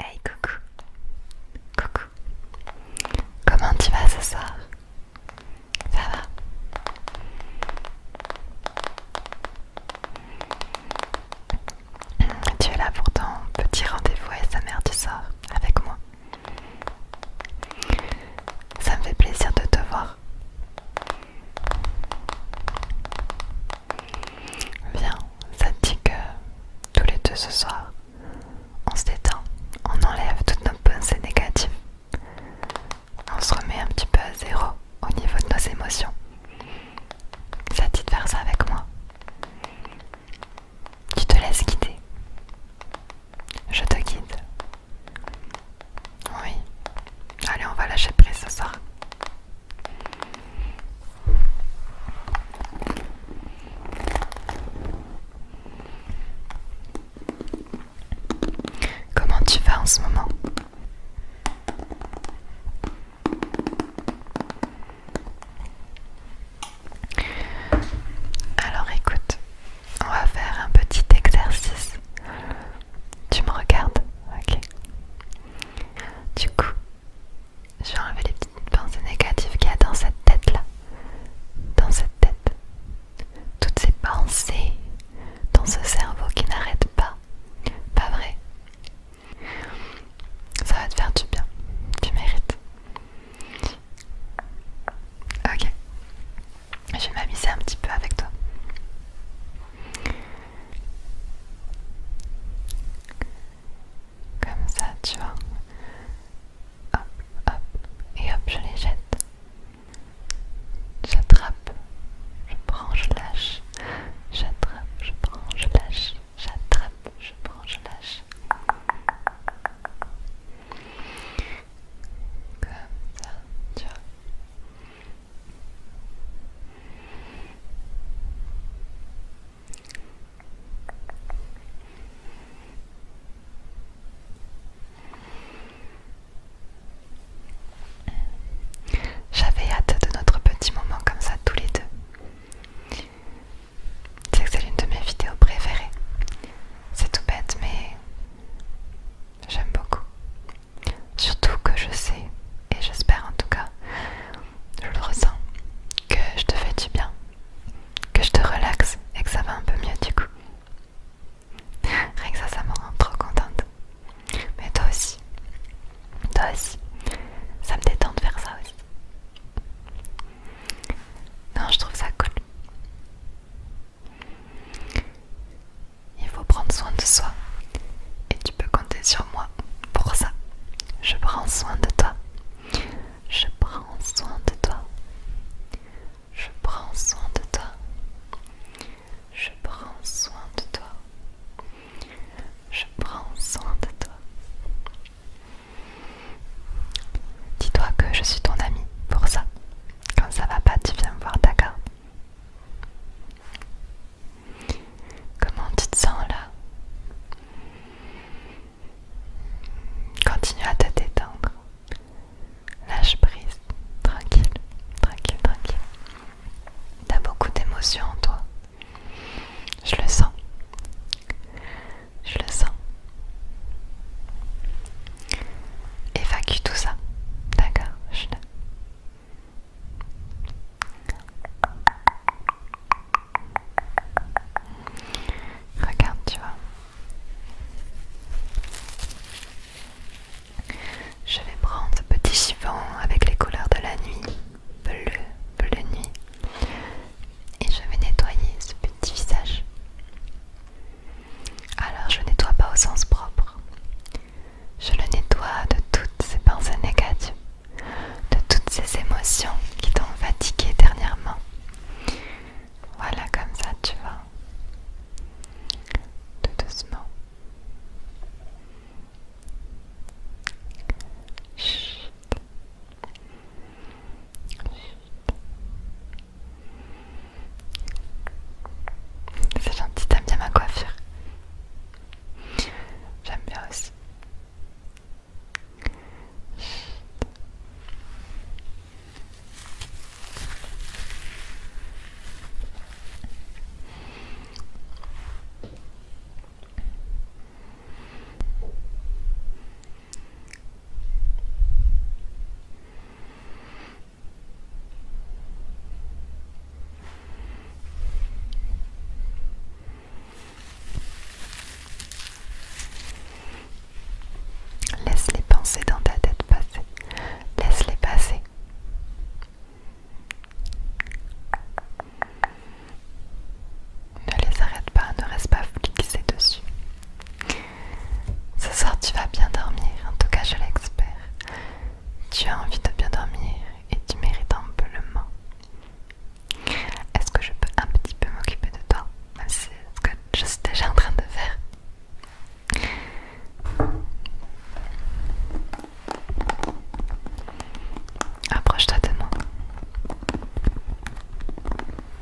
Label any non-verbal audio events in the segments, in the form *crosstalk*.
Hey coucou, coucou, comment tu vas ce soir Ça va hum, Tu es là pour ton petit rendez-vous avec sa mère du sort avec moi. Ça me fait plaisir de te voir. Viens, ça te dit que tous les deux ce soir, on se détend, on enlève toutes nos pensées négatives, on se remet un petit peu à zéro au niveau de nos émotions. Ça te dit de faire ça avec moi Tu te laisses guider. Je te guide. Oui. Allez, on va lâcher prise ce soir. Comment tu vas en ce moment Alors écoute, on va faire un petit exercice. Tu me regardes Ok. Du coup, je vais enlever les petites pensées négatives qu'il y a dans cette tête-là. Dans cette tête. Toutes ces pensées dans ce cerveau qui n'arrête pas. Pas vrai Ça va te faire du bien. Tu mérites. Ok. Je vais m'amuser un petit peu avec toi. Comme ça, tu vois. Hop, hop, et hop, je les jette. J'attrape, je prends, je lâche. J'attrape, je prends, je lâche. J'attrape, je prends, je lâche. Comme ça, J'avais hâte de notre petit moment comme ça tous les deux. C'est que c'est l'une de mes vidéos préférées. C'est tout bête, mais j'aime beaucoup. Surtout que je sais, et j'espère en tout cas, je le ressens, que je te fais du bien, que je te relaxe et que ça va un peu mieux du coup. Rien que ça, ça me rend trop contente. Mais toi aussi, toi aussi, ça me détend de faire ça aussi. Non, je trouve ça cool. Il faut prendre soin de soi. Et tu peux compter sur moi pour ça. Je prends soin de toi. Je prends soin de toi. Je prends soin de toi. Je prends soin de toi. Je prends soin de toi. Dis-toi que je suis ton ami pour ça. Quand ça va pas, tu viens me voir, d'accord Comment tu te sens là Continue à te détendre. Lâche prise. Tranquille, tranquille, tranquille. T'as beaucoup d'émotions en toi. Je le sens. Je le sens. Évacue tout ça. D'accord, je le Regarde, tu vois. Je vais prendre ce petit chiffon avec les couleurs de la nuit. Bleu, bleu nuit et je vais nettoyer ce petit visage. Alors je nettoie pas au sens propre. Je le nettoie de toutes ces pensées négatives, de toutes ces émotions qui t'ont fatigué dernièrement. Voilà comme ça tu vois Tout doucement. C'est gentil, t'aimes bien ma coiffure. J'aime bien aussi. Laisse les pensées dans ta tête passer. Laisse-les passer. Ne les arrête pas, ne reste pas fixé dessus. Ce soir, tu vas bien dormir, en tout cas, je l'espère. Tu as envie de bien dormir et tu mérites un peu le main. Est-ce que je peux un petit peu m'occuper de toi, même c'est ce que je suis déjà en train de faire Approche-toi de moi.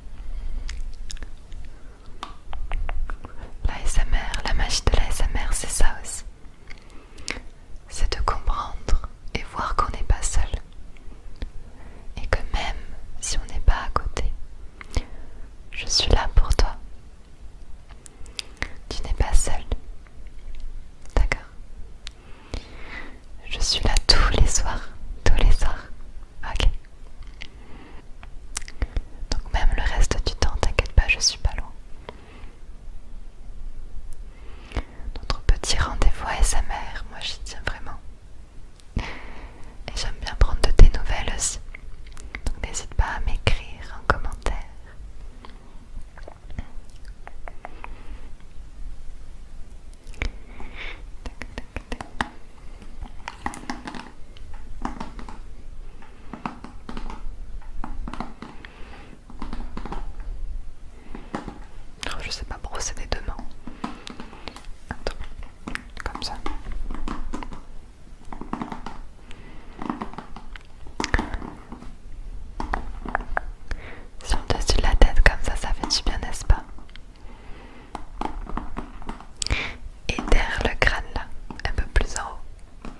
La la magie de la SMR, c'est ça aussi. C'est de comprendre et voir qu'on n'est pas seul. Et que même si on n'est pas à côté, je suis là pour toi. Tu n'es pas seul. D'accord Je suis là tous les soirs, tous les soirs, Ok. Donc même le reste du temps, t'inquiète pas, je suis pas loin. Notre petit rendez-vous à sa moi j'y tiens vraiment. Et j'aime bien prendre de tes nouvelles aussi. Donc n'hésite pas à m'écrire en commentaire. Oh, je sais pas brosser des deux mains. comme ça. Si on dessus la tête, comme ça, ça fait du bien, n'est-ce pas? Et derrière le crâne là, un peu plus en haut.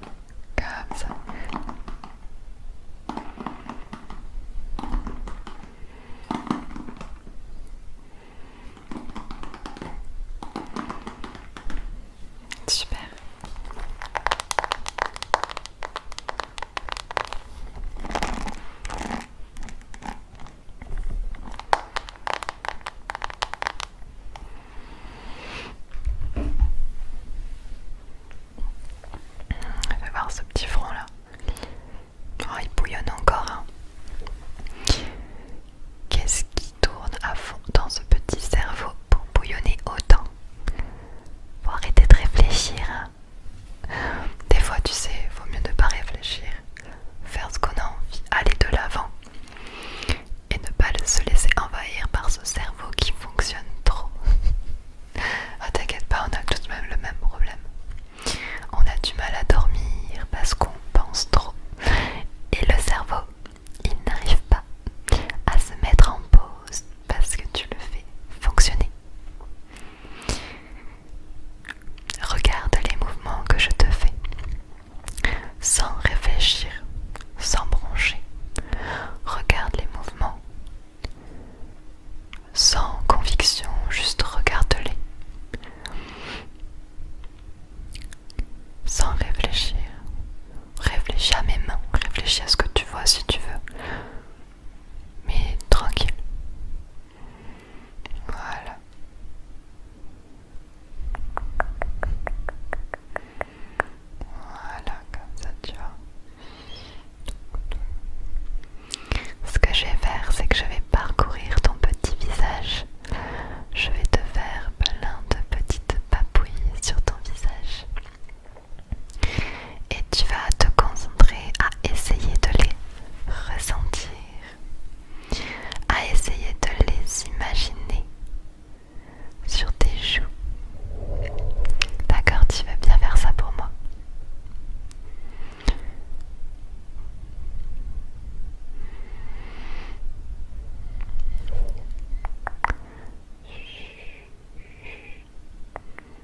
Comme ça. Super voir ce petit front là. Oh, il bouillonne encore. Hein. Qu'est-ce qui tourne à fond dans ce petit cerveau pour bouillonner autant Faut arrêter de réfléchir. Hein. Des fois, tu sais, vaut mieux ne pas réfléchir, faire ce qu'on a envie, aller de l'avant et ne pas se laisser envahir par ce cerveau qui fonctionne trop. *laughs* ah, t'inquiète pas, on a tout de même le même problème. On a du mal à dormir parce qu'on pense trop et le cerveau, il n'arrive pas à se mettre en pause parce que tu le fais fonctionner. Regarde les mouvements que je te fais, sans réfléchir, sans broncher. Regarde les mouvements, sans conviction, juste regarde-les. Sans réfléchir, réfléchis à mes mains, réfléchis à ce que tu vois si tu veux, mais tranquille, voilà. Voilà, comme ça tu vois. Ce que je vais faire, c'est que je vais parcourir ton petit visage. Je vais te faire plein de petites papouilles sur ton visage et tu vas te concentrer à essayer de les ressentir, à essayer de les imaginer sur tes joues. D'accord, tu veux bien faire ça pour moi.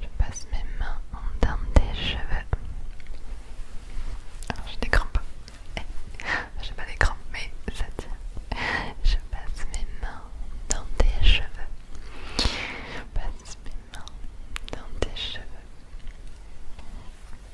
Je passe mes mains dans tes cheveux. Je j'ai des crampes. Eh, j'ai pas des crampes mais ça tient. Je passe mes mains dans tes cheveux. Je passe mes mains dans tes cheveux.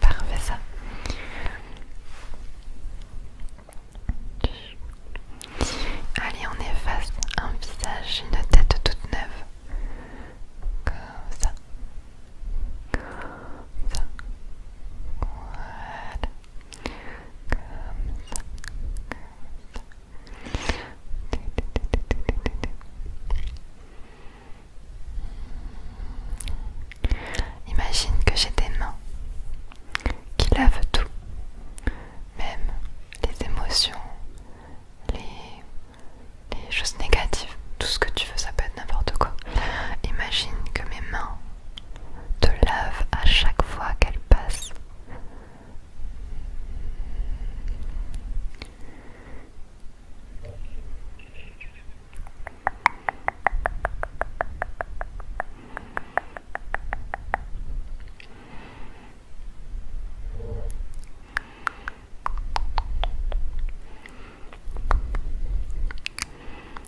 Parfait ça. Allez, on efface un visage, une tête toute neuve. Comme ça. ça. Imagine que j'ai des mains qui lavent tout, même les émotions, les, les choses négatives, tout ce que tu veux, ça peut être n'importe quoi. Imagine que mes mains te lave à chaque fois qu'elle passe.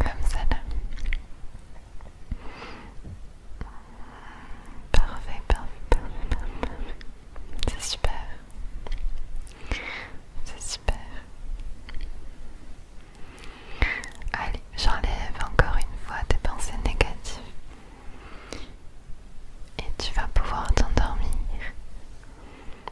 Comme ça là. Parfait, parfait, parfait, parfait. C'est super. C'est super. Allez, j'enlève encore une fois tes pensées négatives. Et tu vas pouvoir t'endormir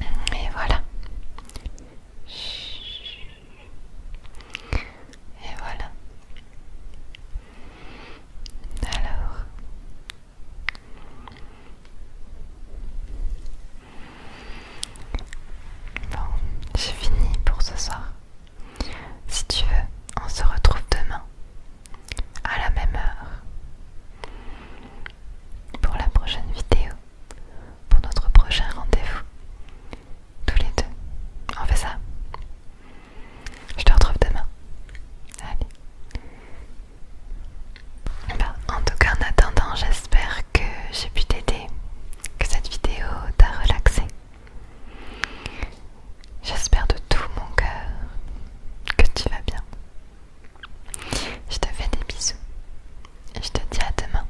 Et voilà. Et voilà. Alors. Bon, j'ai fini pour ce soir. Si tu veux, on se retrouve demain à la même heure pour la prochaine vidéo, pour notre prochain rendez-vous. Tous les deux, on fait ça. Je te retrouve demain. Allez. Bah, en tout cas, en attendant, j'espère que j'ai pu t'aider, que cette vidéo t'a relaxé. J'espère de tout mon cœur que tu vas bien. Je te fais des bisous et je te dis à demain.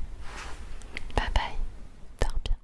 Bye bye, dors bien.